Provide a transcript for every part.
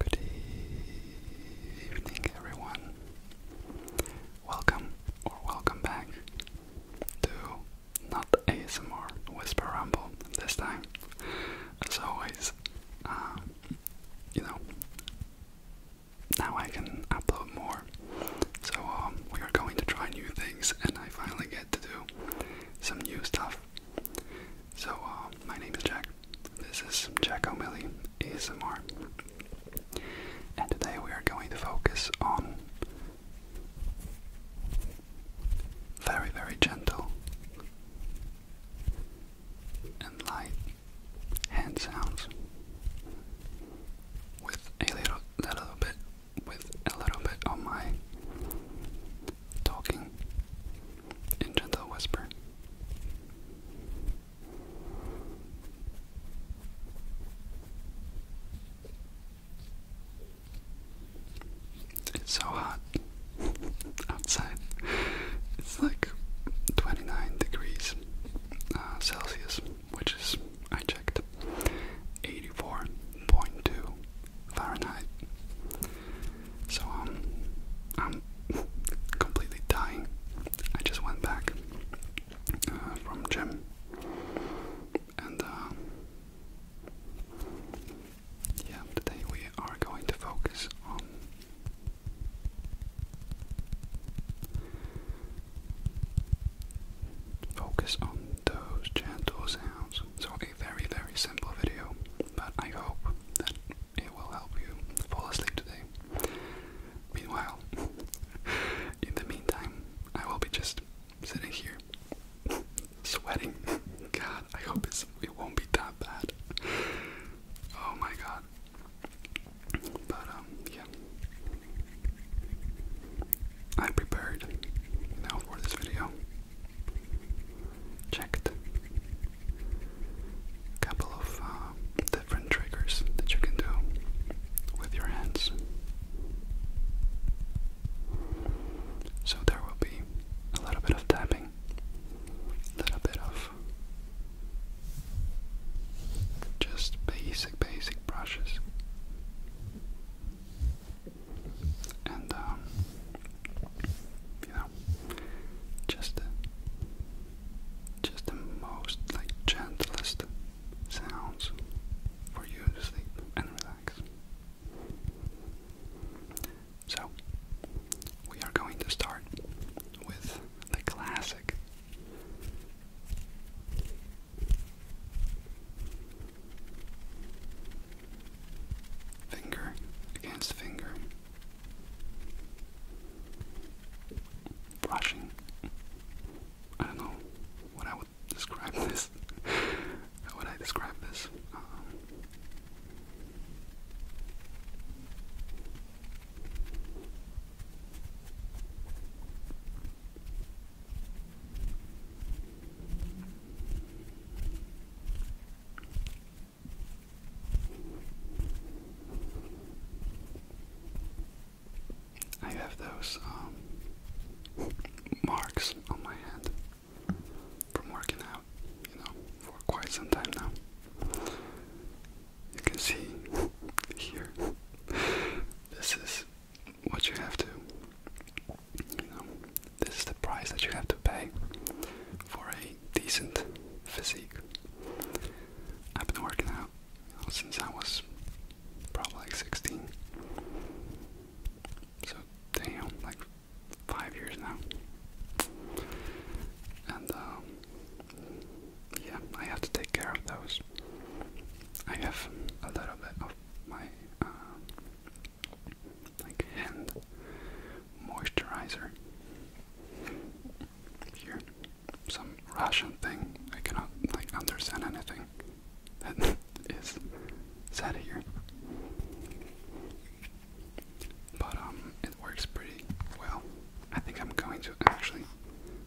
Good evening, everyone. Welcome or welcome back to not ASMR Whisper Rumble this time. As always, um, you know, now I can upload more. So um, we are going to try new things, and I finally get to do some new stuff. So, uh, my name is Jack. This is Jack O'Malley ASMR. And today we are going to focus on very, very gentle and light hand sounds with a little, little bit with a little bit of my talking in gentle whisper. It's so hot outside. It's like 29 degrees uh, Celsius, which is, I checked, 84.2 Fahrenheit. So um, I'm completely dying. I just went back uh, from gym, and uh, yeah, today we are going to focus on. Focus on those gentle sounds. So very, very simple video, but I hope that it will help you fall asleep today. Meanwhile, in the meantime, I will be just sitting here sweating. God, I hope it's, it won't be that bad. Oh my god. But, um, yeah. I prepared, you for this video checked a couple of uh, different triggers that you can do with your hands. So there will be a little bit of tapping, a little bit of just basic, basic brushes and um, you know, just just the most like gentlest sounds for you to sleep and relax. So we are going to start with the classic Finger against finger. Brushing. I don't know what I would describe this. How would I describe this? Um, I have those um, marks on my hand from working out, you know, for quite some time now. You can see here. This is what you have to you know this is the price that you have to pay for a decent physique. I've been working out since I was probably like 16. So damn, like five years now. And um, yeah, I have to take care of those. I have a little bit of my uh, like hand moisturizer. Here, some Russian thing. I cannot like understand anything that is said here. But um, it works pretty well. I think I'm going to actually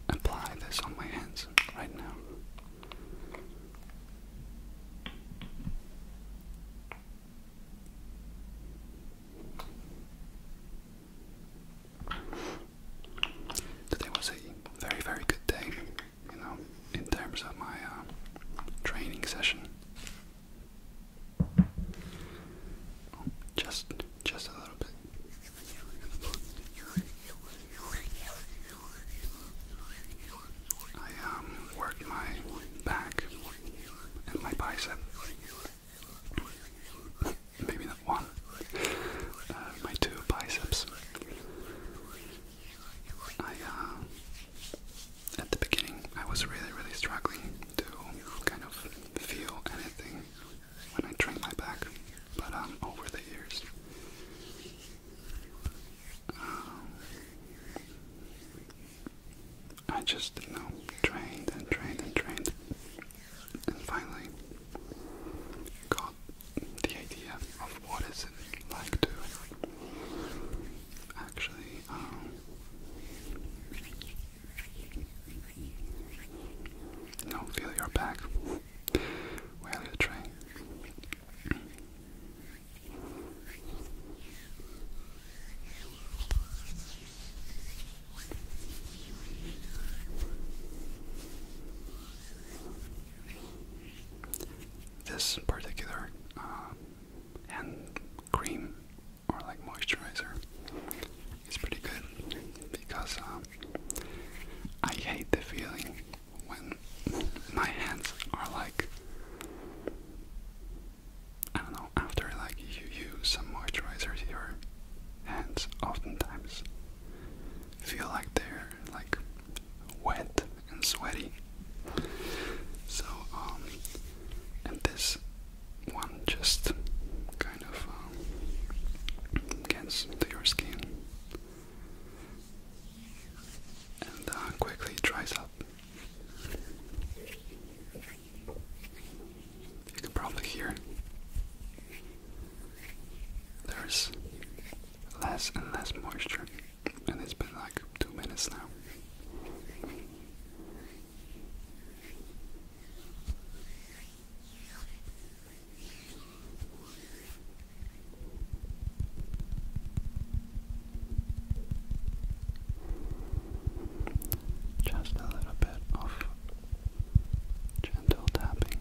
apply this on my hands right now. Today was a very, very good day, you know, in terms of my uh, training session. Just, just a little bit. I um, my back and my bicep. Maybe not one. Uh, my two biceps. I uh, at the beginning I was really really struggling to kind of feel anything when I trained my back, but um, over the years I just, you know, trained and trained and trained, and finally got the idea of what is it like to actually um, you know, feel your back while you train. This particular uh, cream or like moisturizer is pretty good because um, I hate the feeling when my hands are like I don't know, after like you use some moisturizers your hands oftentimes feel like they're like wet and sweaty. So um, and this one just kind of um, gets to your skin and uh, quickly dries up. You can probably hear there's less and less moisture, and it's been like two minutes now. Just a little bit of gentle tapping.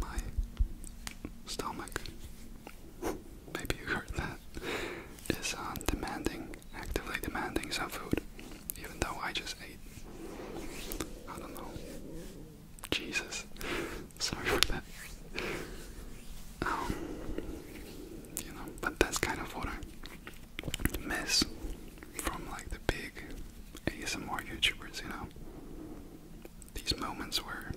My stomach. Maybe you heard that is on uh, demanding, actively demanding some food, even though I just ate. I don't know. Jesus. Sorry for that. Um, you know, but that's kind of what I miss from like the big ASMR YouTubers, you know. These moments where,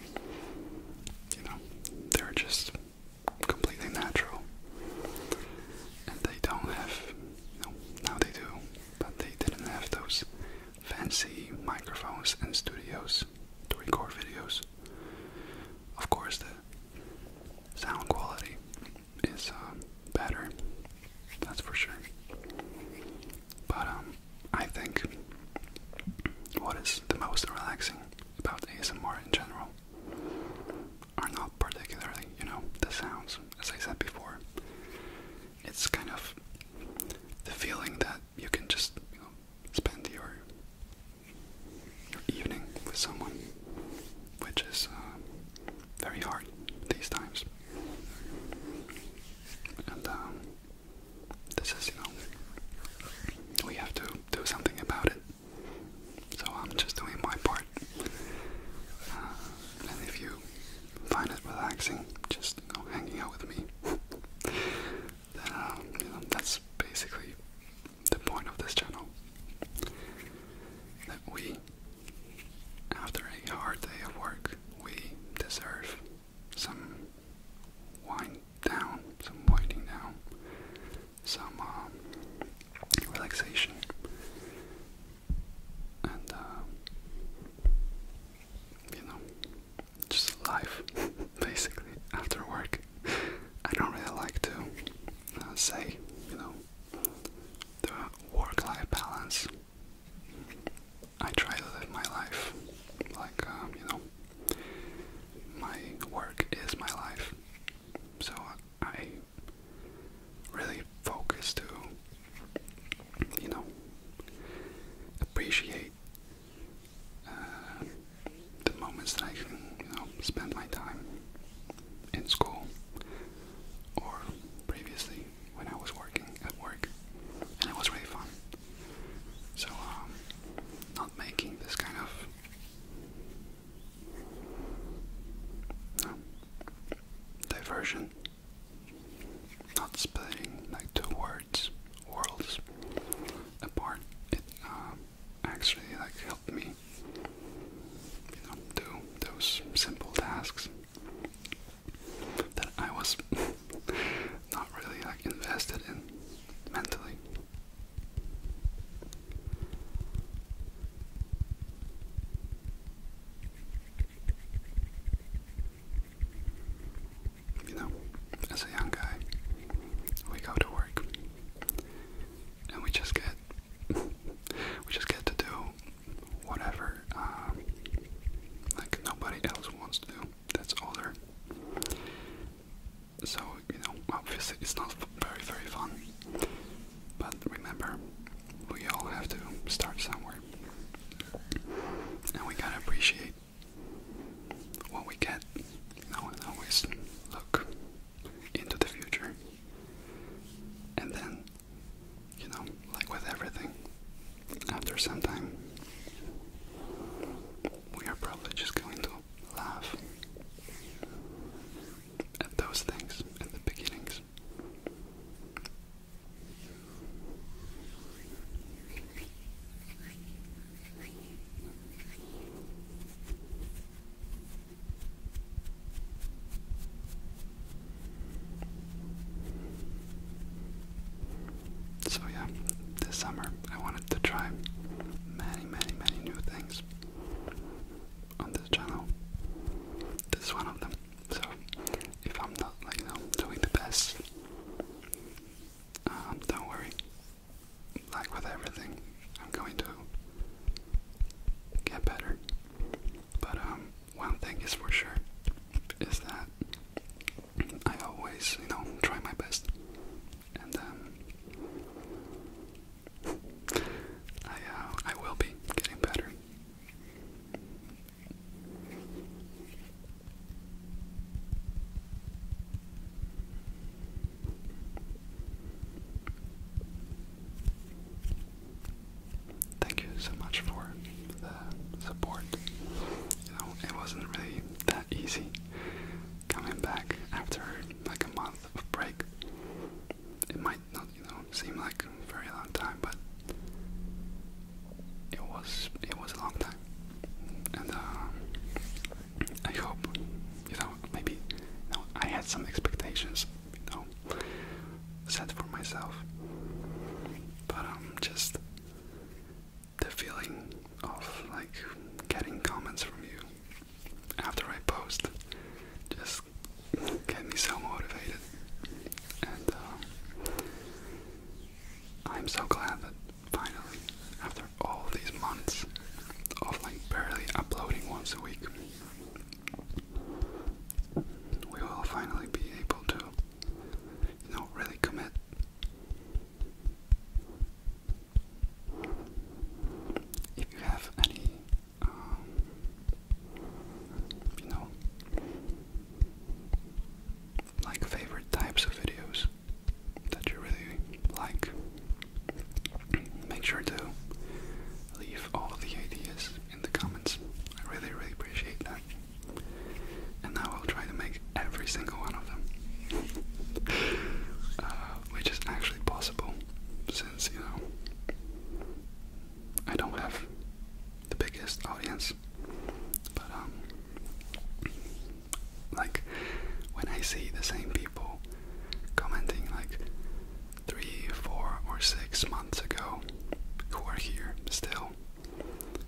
you know, they're just completely natural. And they don't have, no, now they do, but they didn't have those fancy microphones and studios to record videos. Of course, the sound quality is uh, better, that's for sure. But um, I think what is the most relaxing about ASMR in general are not particularly, you know, the sounds, as I said before. It's kind of the feeling that you can just, you know, spend your evening with someone, which is uh, very hard these times. And um, this is, you know, we have to do something about it. So I'm just doing my part. Uh, and if you find it relaxing, just go hanging out with me. Um, that's basically the point of this channel. That we, after a hard day of work, we deserve some wind down, some winding down, some um, relaxation and um, you know just life basically after work. I don't really like to uh, say you know the work-life balance. I try to live my life like um, you know my work is my life so I really focus to, you know, appreciate uh, the moments that I can, you know, spend my time in school or previously when I was working at work, and it was really fun. So, um, not making this kind of no. Diversion. Not splitting like two words, worlds apart. It um, actually like helped me, you know, do those simple tasks that I was not really like invested in mentally. You know, as a young guy, we go to work and we just get we just get to do whatever um, like nobody else wants to do that's older so, you know, obviously it's not very, very fun. But remember, we all have to start somewhere. And we gotta appreciate what we get, you know, and always look into the future. And then, you know, like with everything, after some time, we are probably just going to laugh at those things at the beginnings. So, yeah, this summer I wanted to try many, many, many new things on this channel. This is one of them. So if I'm not like doing the best, um, don't worry. Like with everything, I'm going to get better. But um, one thing is for sure is that I always, you know, try my best and um, I uh, I will be getting better. Thank you so much for the support. You know, it wasn't really that easy coming back after like a month of break. It might not, you know, seem like a very long time, but it was it was a long time. And uh, I hope, you know, maybe you know, I had some expectations, you know, set for myself. But um, just the feeling of like getting comments from you after I post just get me so motivated. And uh, I'm so glad that finally, after all these months of like barely uploading once a week, we will finally be able to, you know, really commit if you have any, um, you know, like favorite types of videos that you really like, make sure to leave all the ideas in the comments. I really, really appreciate that. And now I'll try to make every single one of them. Uh, which is actually possible since, you know, I don't have the biggest audience. But, um, like, when I see the same people commenting, like, three, four, or six months ago who are here still,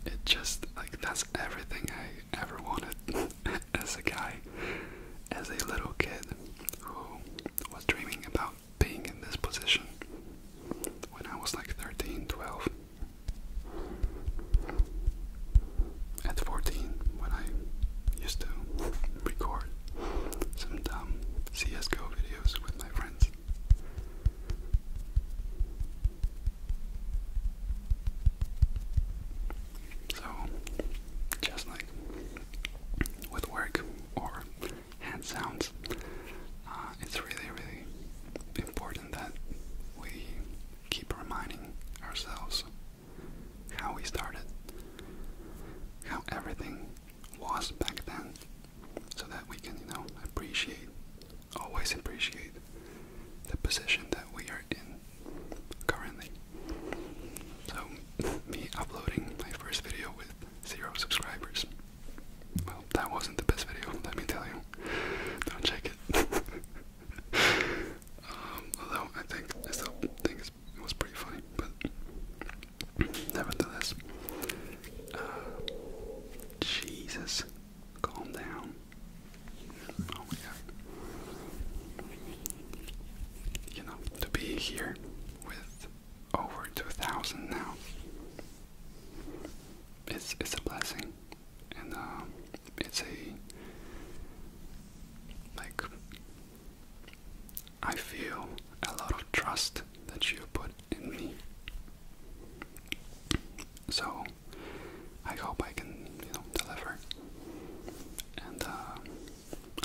it just, like, that's everything I ever wanted. as a guy, as a little kid who was dreaming about being in this position when I was like 13, 12. At 14, when I used to record some dumb CSGO videos with my friends. So, just like with work or hand sounds, uh, it's really, really important that we keep reminding ourselves how we started, how everything was back then, so that we can, you know, appreciate, always appreciate the position that we are in currently. So, me uploading my first video with zero subscribers. Well, that wasn't the best video, let me tell you. Don't check it. Um, although I think still think it was pretty funny, but nevertheless. Uh, Jesus, calm down. Oh, you know, to be here with over 2,000 now, it's, it's a blessing. And um, it's a, like, I feel a lot of trust that you put in me. So I hope I can, you know, deliver and uh,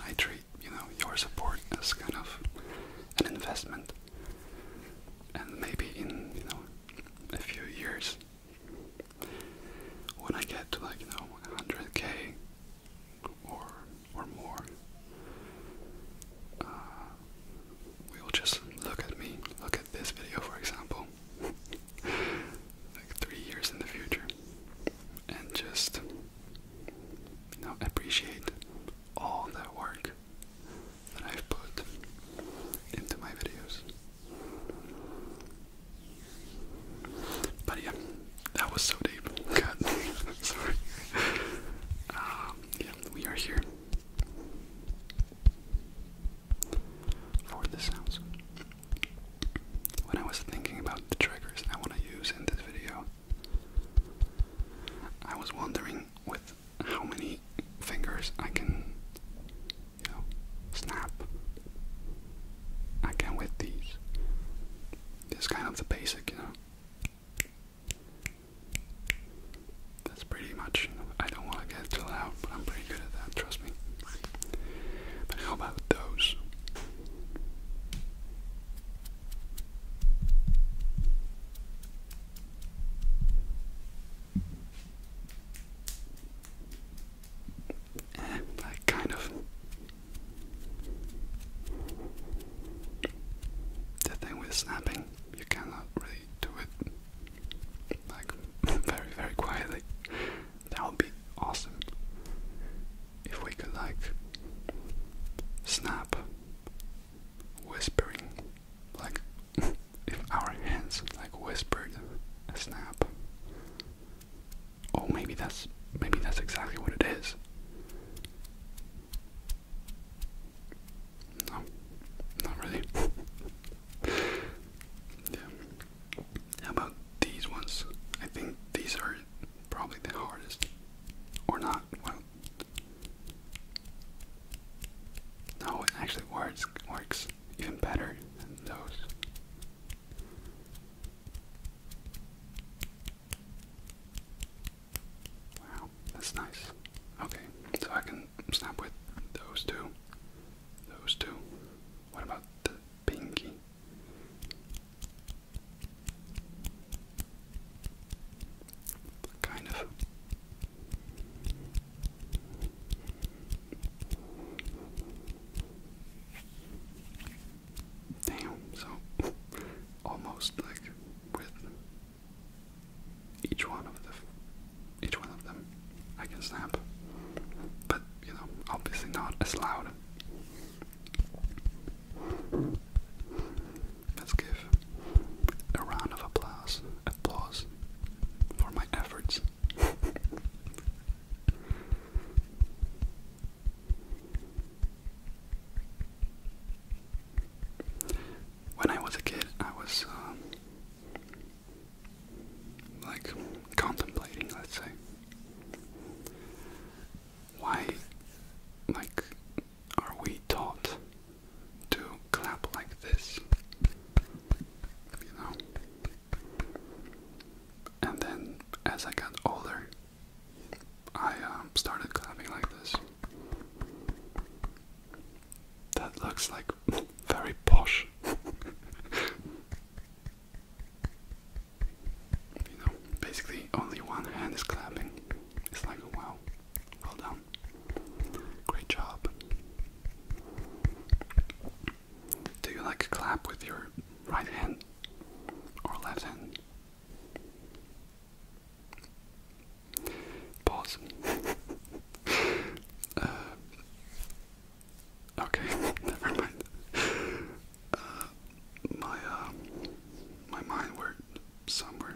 I treat you know your support as kind of an investment, and maybe in you know a few years when I get to like you know 100k or or more, we uh, will just look at me, look at this video for example, like three years in the future, and just you appreciate all that work that I've put into my videos. But yeah, that was so deep. God, sorry. Um, yeah, we are here for the sounds. When I was thinking about the triggers I want to use in this video, I was wondering with how many fingers I can, you know, snap. I can with these. It's kind of the basic, you know. That's pretty much, I don't want to get too loud, but I'm pretty good at that, trust me. But how about those? Eh, kind of. The thing with snapping, you cannot really do it like very, very quietly. That would be awesome. If we could like snap whispering like if our hands like whispered a snap. Oh maybe that's maybe that's exactly what it is. No, not really. How about these ones? I think these are probably the hardest. Or not. Well, no, it actually works, works even better than those. Wow, that's nice. Okay, so I can snap with those two. Those two. What about the pinky. Kind of. Damn, so almost like with each one of the each one of them I can snap. But, you know, obviously not as loud. Let's give a round of applause, applause for my efforts. when I was a kid, I was um, like contemplating, let's say. Why, like, are we taught to clap like this? You know? And then as I got older, I um, started clapping like this. That looks like very posh. You know, basically only one hand is clapping. It's like, wow, well done. Great job. Do you like clap with your right hand or left hand? Pause. Uh, Okay, never mind. Uh, my uh, my mind went somewhere.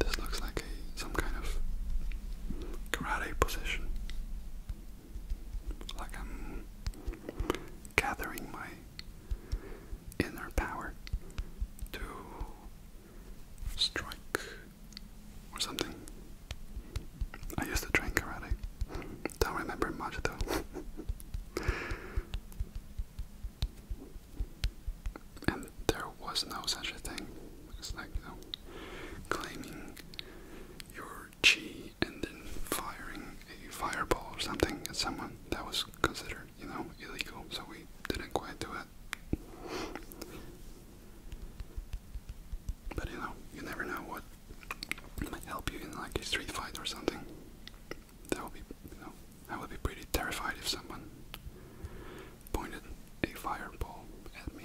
This looks like a some kind of karate position. Like I'm gathering my in our power to strike or something. I used to train karate. Don't remember much though. and there was no such a thing. It's like you know, claiming your chi and then firing a fireball or something at someone. That was was considered, you know, illegal, so we didn't quite do it. But you know, you never know what might help you in like a street fight or something. That would be, you know, I would be pretty terrified if someone pointed a fireball at me.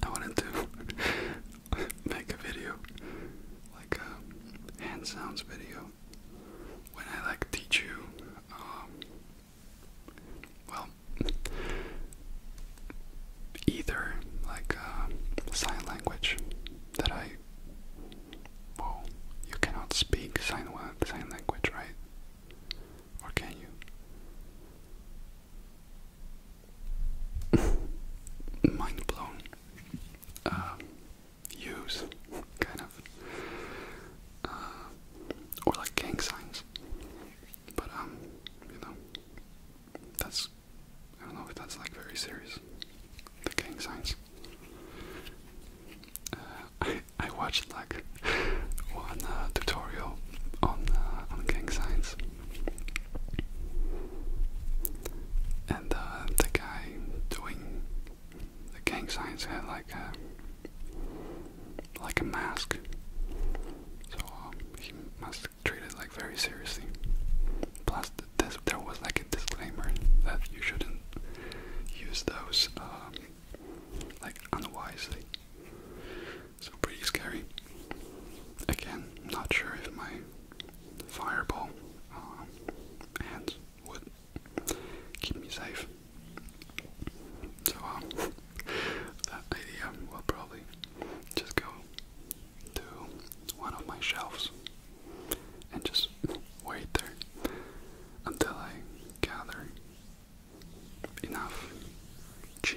I wanted to make a video, like a hand sounds video, when I like teach you um, well, either like uh, sign language that I. Well, you cannot speak sign sign language, right? Or can you? Mind blown. Uh, use kind of uh, or like gang signs. But um, you know, that's I don't know if that's like very serious. The gang signs. Uh, I I watched like one uh, tutorial on uh, on gang signs, and uh, the guy doing the gang signs had like a uh, like a mask, so um, he must treat it like very seriously. Plus, there was like a disclaimer that you shouldn't use those um, like unwisely. So pretty scary. Again, not sure if my fireball um, hands keep me safe. So um, that idea will probably just go to one of my shelves and just wait there until I gather enough chi.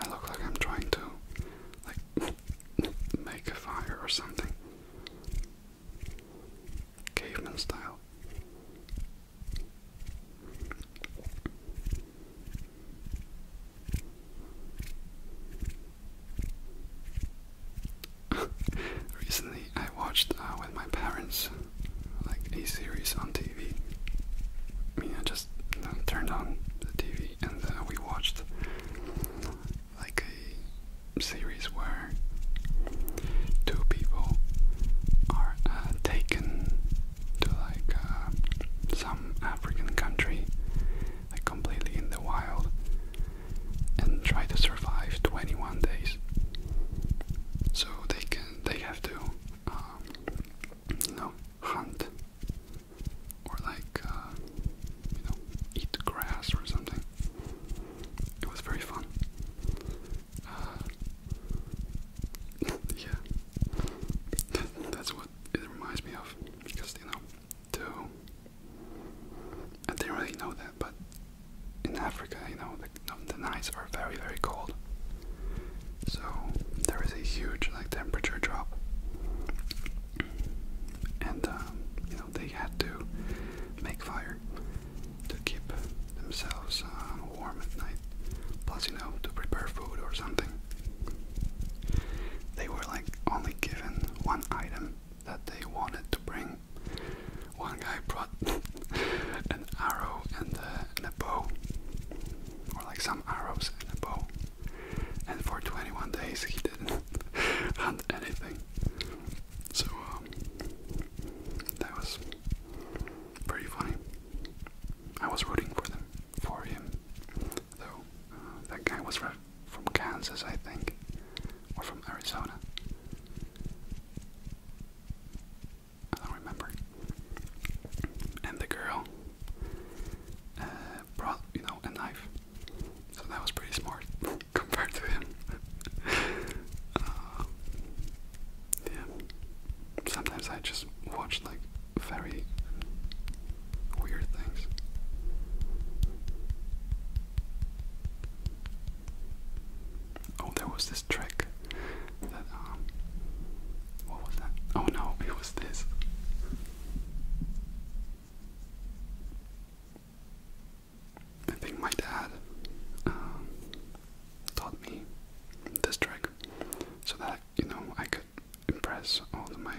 I look like I'm trying to like make a fire or something. Caveman style. Recently, I watched uh, with my parents like a series on TV. I mean, I just uh, turned on the TV and uh, we watched like a series where two people are uh, taken to like uh, some African country, like completely in the wild, and try to survive 21 days. So they can they have to um, you know hunt or like uh, you know eat grass or something. It was very fun. Uh, yeah, that's what it reminds me of because you know, I didn't really know that, but in Africa, you know, um, the, nights are very very cold. So there is a huge like temperature drop, and um, you they had to make fire to keep themselves uh, warm at night. Plus, you know, to prepare food or something. They were like only given one item that they wanted to bring. One guy brought an arrow uh, and a bow, or like some arrows and a bow and for 21 days he didn't hunt anything. So um, that was pretty funny. I was rooting for them, for him, though. Uh, that guy was from Kansas, I think, or from Arizona. I don't remember. And the girl, uh, brought, you know, a knife. So that was pretty smart compared to him. Uh, yeah. Sometimes I just watch like very weird things. Oh, there was this trick that, um, what was that? Oh no, it was this. I think my dad um, taught me this trick so that you know I could impress all the my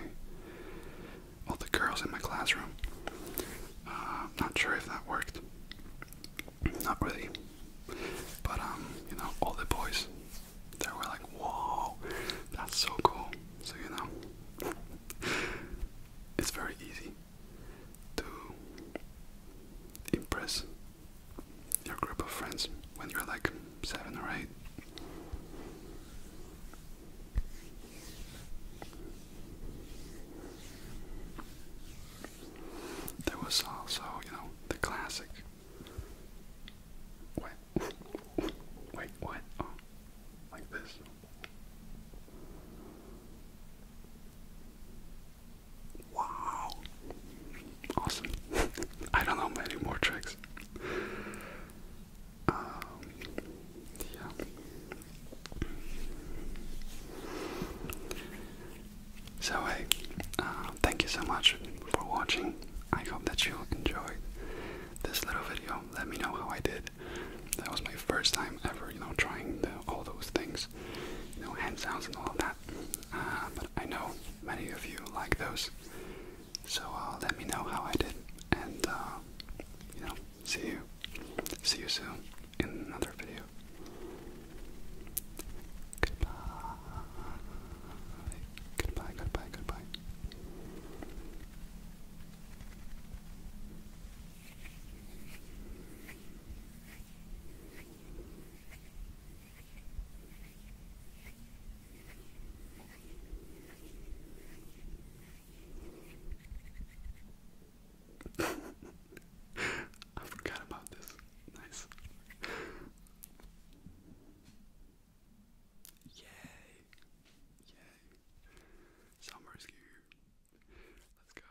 all the girls in my classroom. Uh, not sure if that worked. Not really. But um, you know, all the boys they were like, "Whoa, that's so cool." so you know it's very easy to impress your group of friends when you're like seven or eight. There was also, you know, the classic. Wait, wait, what? Oh, like this. Wow. Awesome. I don't know many more tricks. Um, so hey, um, thank you so much for watching. I hope that you enjoyed this little video. Let me know how I did. That was my first time ever, you know, trying all those things, you know, hand sounds and all of that. Uh, but I know many of you like those, so uh, let me know how I did, and uh, you know, see you, see you soon in another video. Goodbye, goodbye, goodbye, goodbye. I forgot about this. Nice. Yay. Some rescue. Let's go.